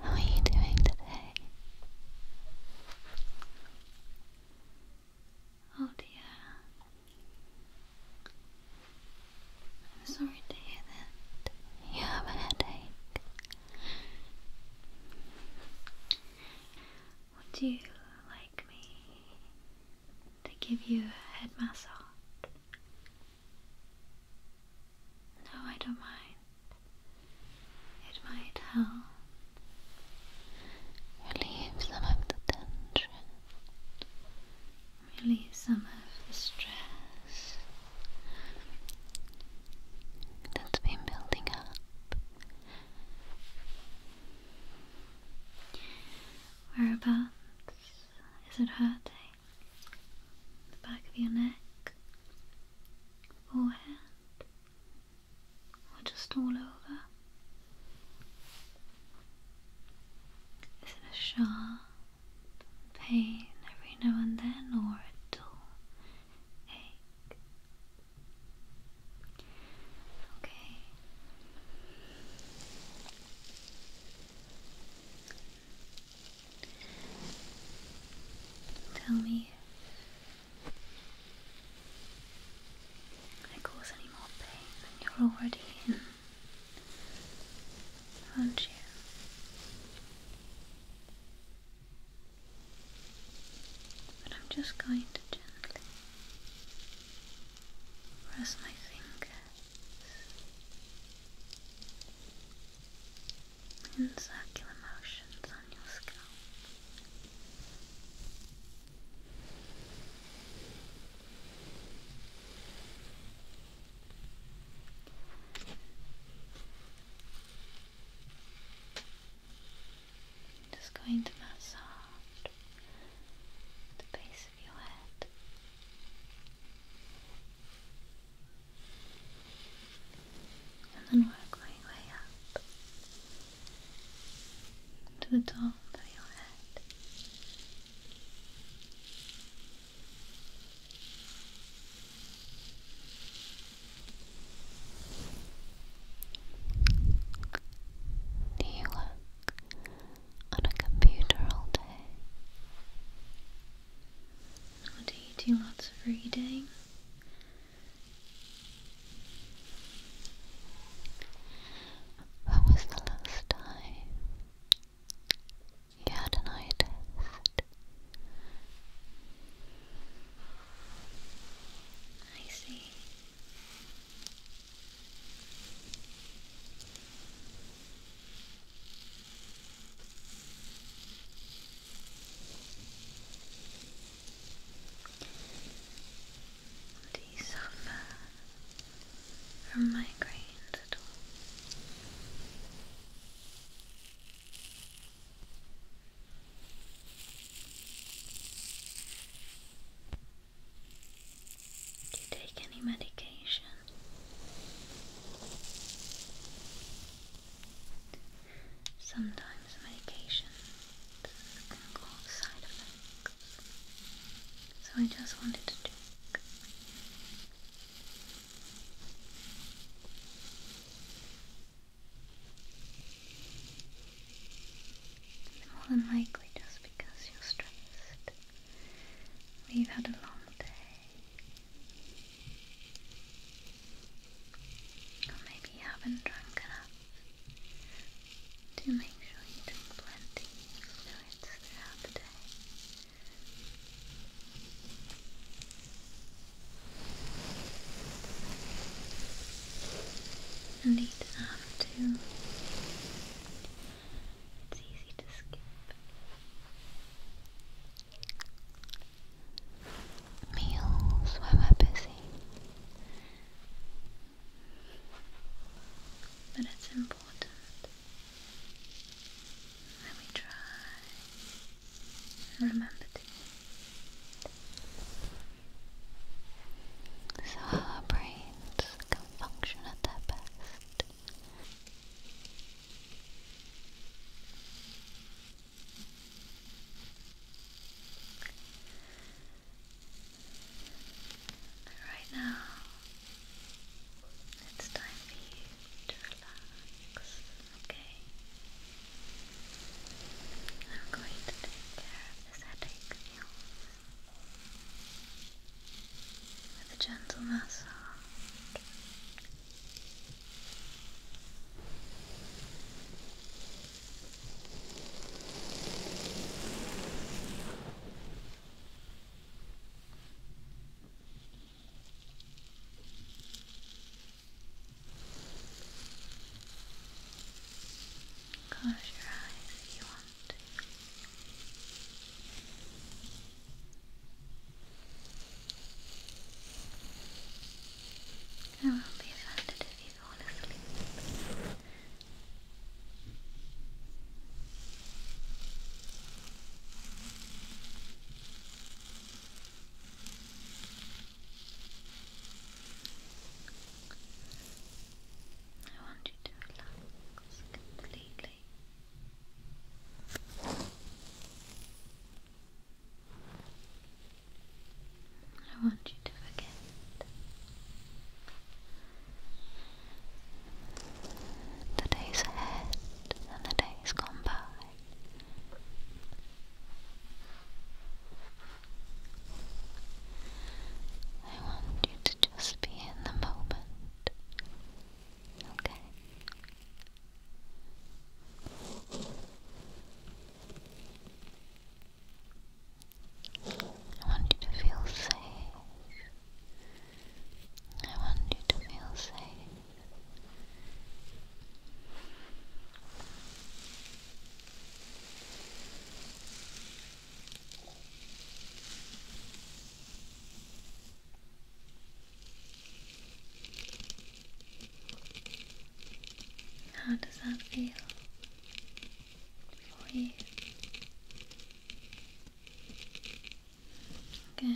How are you doing today? Oh dear. I'm sorry to hear that you have a headache. Would you like me to give you a head massage? No, I don't mind. It might help relieve some of the tension, relieve some of the stress that's been building up. Whereabouts is it hurting? The back of your neck? Forehead? Or just all over? Is it a sharp pain every now and then or a dull ache? Okay. Tell me I cause any more pain than you're already in, aren't you? But I'm just going to gently press my fingers in circular motions on your scalp. Just going to massage the base of your head. And then work my way up to the top of your head. Do you work on a computer all day? Or do you do lots of reading? When was the last time you had an eye test? I see. Do you suffer from migraines at all? Do you take any medication? Sometimes medications can cause side effects, so I just wanted to check. It's more than likely just because you're stressed. We've had a long day. Or maybe haven't drunk enough. Do make sure you drink plenty fluids throughout the day. And eat It's easy to skip. Meals when we're busy. But it's important let me try remember to. So our brains can function at their best. But right now, it's time for you to relax. Okay. I'm going to take care of this headache with a gentle massage. Close your eyes if you want I will be offended if you fall asleep. I want you to relax completely. I want you to forget. The days ahead and the days gone by. I want you to just be in the moment. Okay. I want you to feel safe I want you to feel safe. How does that feel for you? Good.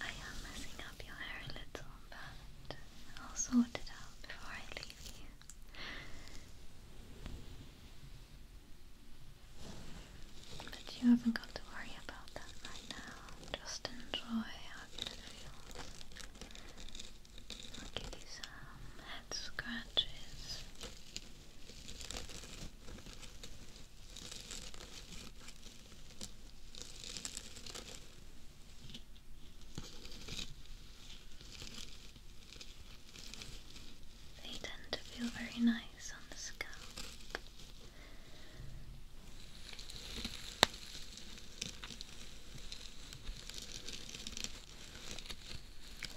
I am messing up your hair a little, but I'll sort it out before I leave you. But you haven't got to worry about that right now. Just enjoy how good it feels. I'll give you some head scratches. They tend to feel very nice nice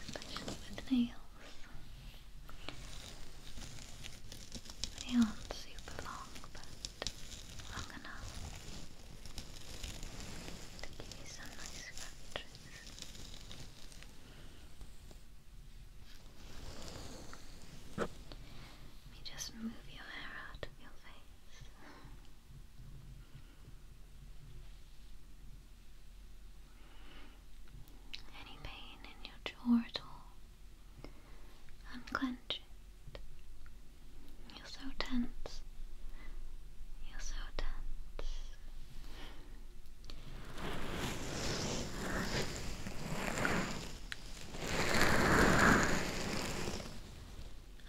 Especially with nails. They super long, but long enough to give you some nice scratches. Let me just move your hair out of your face. Any pain in your jaw at all? Unclench You're so tense. You're so tense.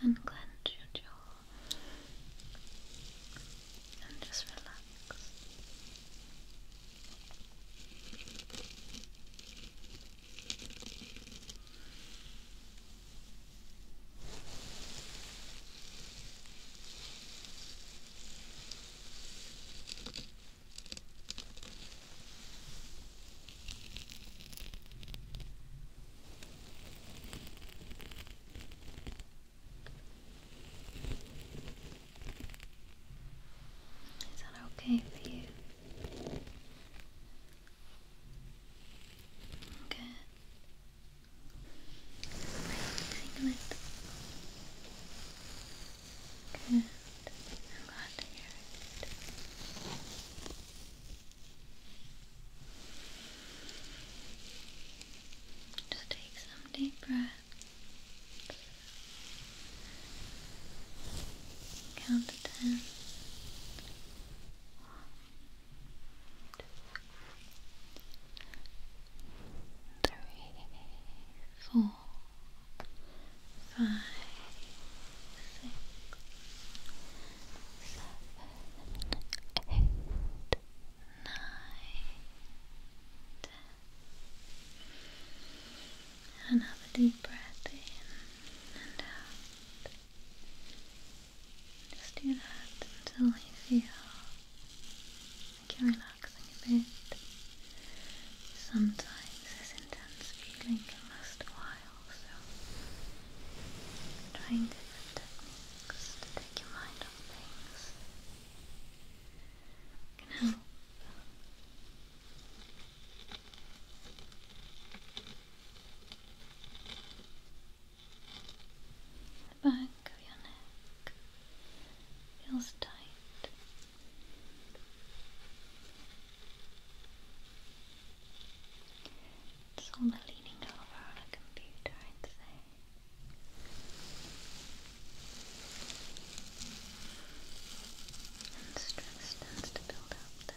And clench your jaw and just relax. Is that okay for you? Good. I'm glad to hear it. Just take some deep breaths. Count to ten. One, two, three, four, five, six, seven, eight, nine, ten. Another deep breath in and out. Just do that until you feel like you're Sometimes this intense feeling can last a while, so trying different techniques to take your mind off things can help. The back of your neck feels tight. It's all the leaning over on a computer, I'd say. And stress starts to build up there.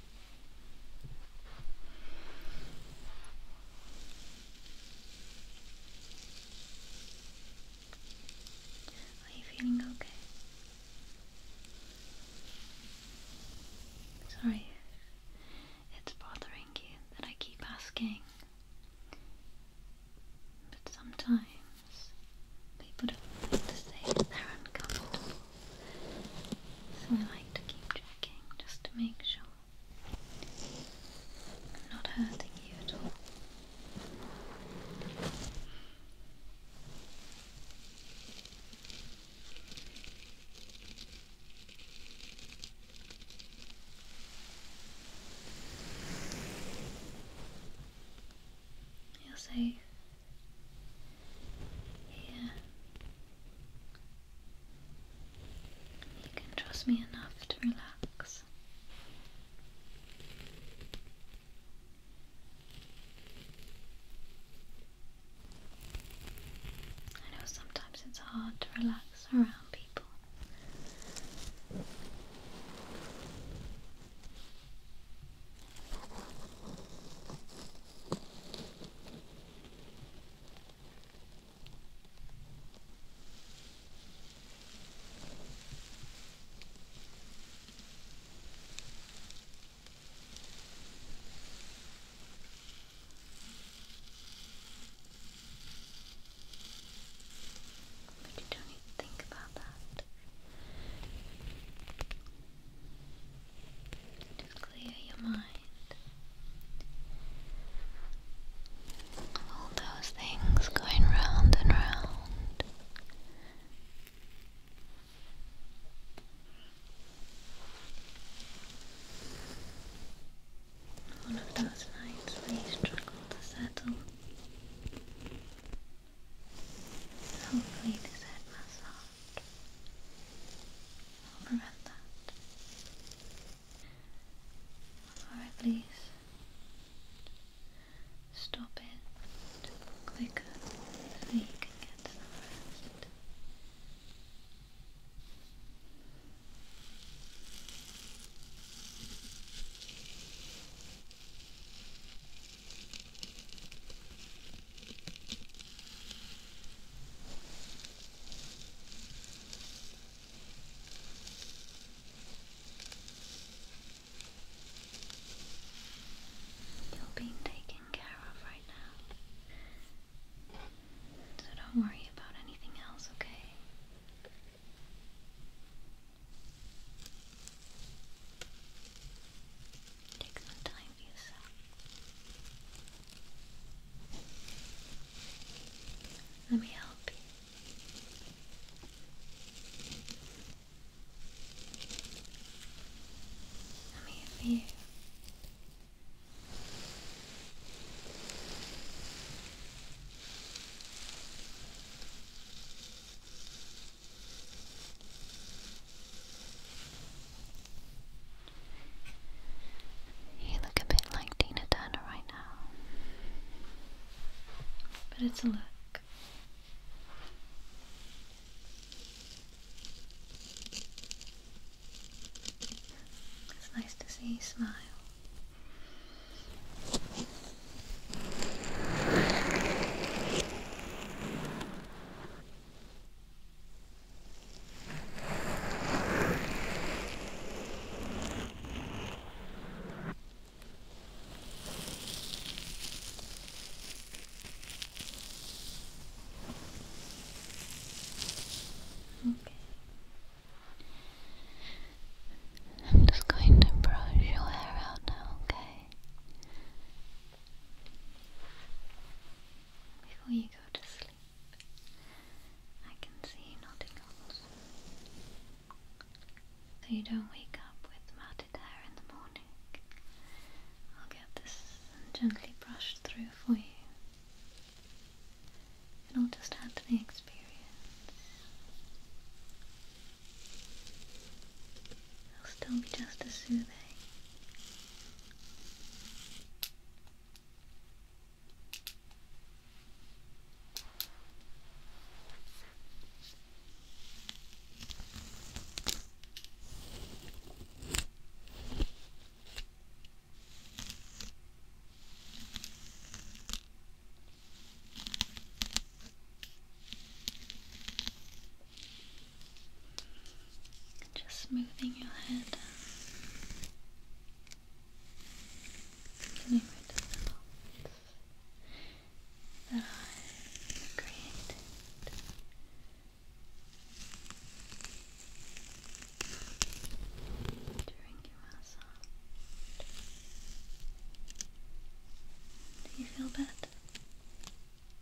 Are you feeling okay? Sorry it's bothering you that I keep asking. But sometimes people don't like to say they're uncomfortable. So I like to keep checking just to make sure I'm not hurting you at all. You're safe here you can trust me enough to relax. I know sometimes it's hard to relax around people. But you don't need to think about that to clear your mind all those things going round and round. One of those nights where you to settle. Hopefully this head massage I'll prevent that. Or at least stop it quicker so you can get some rest. You're being taken care of right now. So don't worry about anything else, okay? Take some time for yourself. Let me help you. I'm here you. You look a bit like Tina Turner right now. But it's a look. It's nice to see you smile. Okay. I'm just going to brush your hair out now, okay? Before you go to sleep, I can see you nodding off. So you don't wake up with matted hair in the morning. I'll get this and gently brush through for you. and i will just add to the experience. It'll still be just as soothing. Just smoothing your head. Getting rid of that I created. During your massage. Do you feel better?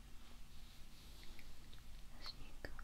as you go to sleep. Relax.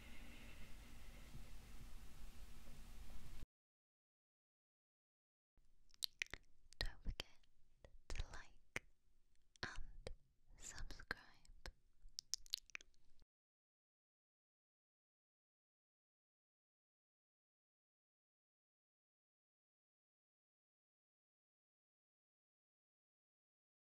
Don't forget to like and subscribe.